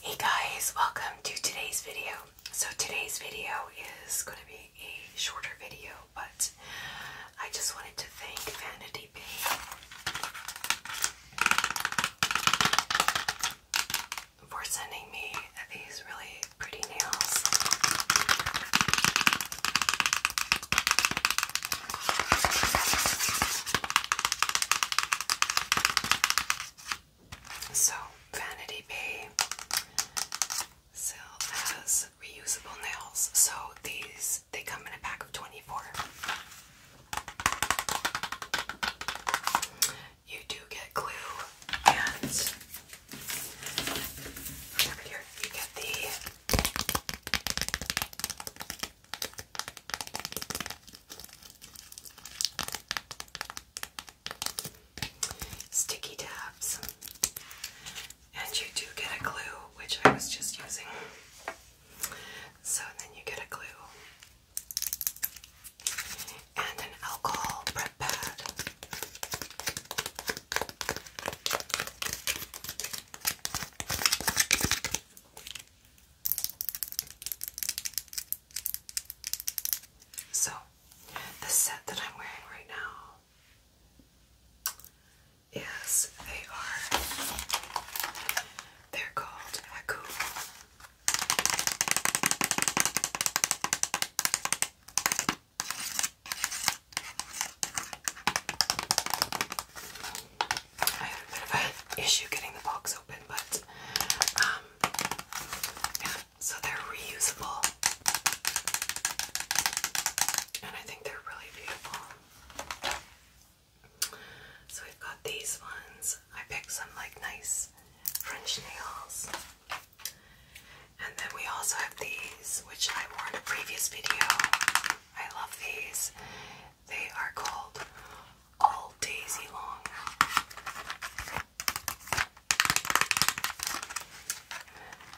Hey guys, welcome to today's video. So today's video is going to be a shorter video, but I just wanted to thank Vanity Bay for sending me these really pretty nails. So, Vanity Bay sell reusable nails. So, these they come in a pack of 24. You do get glue and oh, here you get the Sticky tabs, and you do get a glue, which I was just using. So then you get a glue and an alcohol prep pad. So, the set that I'm wearing right now is they are they're called Haku. I had a bit of an issue getting the box open, but um, so they're reusable. And I think they're really beautiful. So we've got these ones. I picked some like nice French nails. And then we also have these, which I wore in a previous video. I love these. They are called All Daisy Long.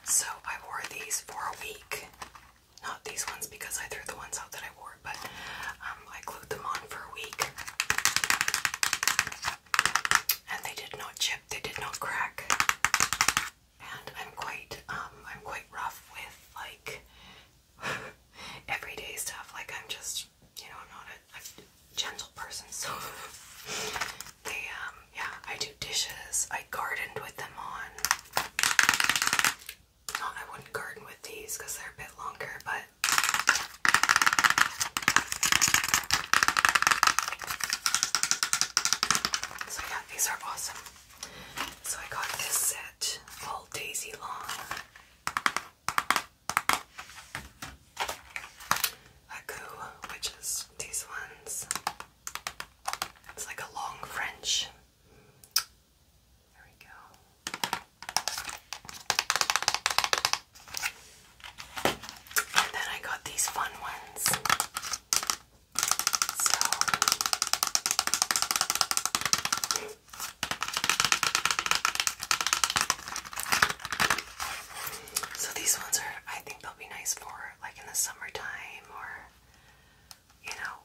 So I wore these for a week. Not these ones because I threw the ones out that I wore, but um, I glued them on for a week. And they did not chip, they did not crack. And I'm quite um, I'm quite rough with like everyday stuff. Like I'm just, you know, I'm not a, gentle person, so they, um, yeah, I do dishes. I gardened with them on. I wouldn't garden with these because they're a bit longer, but. So yeah, these are awesome. So I got this set all daisy long a coup, which is these ones. It's like a long French. There we go. And then I got these fun ones. So so these ones are, I think they'll be nice for like in the summertime or, you know,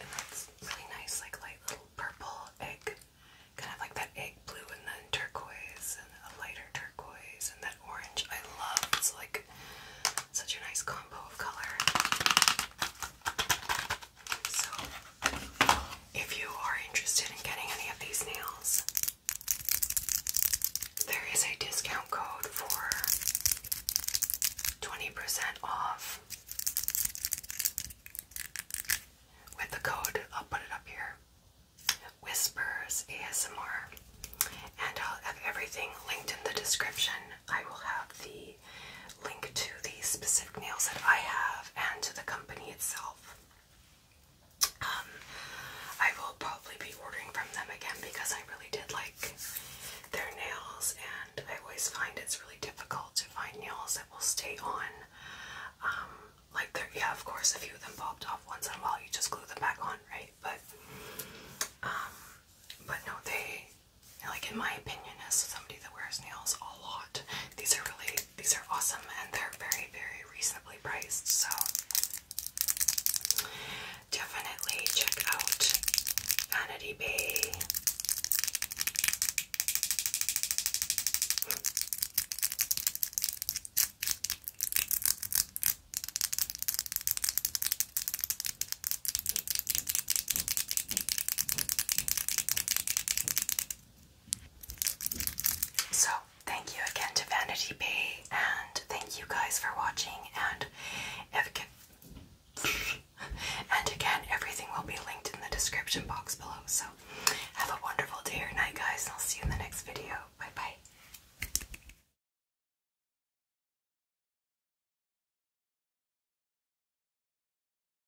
and that's really nice, like light little purple egg, kind of like that egg blue and then turquoise and a lighter turquoise and that orange I love. It's like such a nice combo of color. So, if you are interested in getting any of these nails, there is a discount code for 20% off. With the code, I'll put it up here Whispers ASMR. And I'll have everything linked in the description. I will have the link to the specific nails that I have and to the company itself. Um, I will probably be ordering from them again because I really did like their nails, and I always find it's really difficult to find nails that will stay on. Um, like yeah, of course, a few of them popped off once in a while. You just glue them back on, right? But, um, but no, they like in my opinion, as somebody that wears nails all a lot. These are really these are awesome and they're very very reasonably priced. So definitely check out Vanity Bay. So, thank you again to Vanity Bay, and thank you guys for watching. And again, everything will be linked in the description box below. So, have a wonderful day or night, guys, I'll see you in the next video. Bye bye.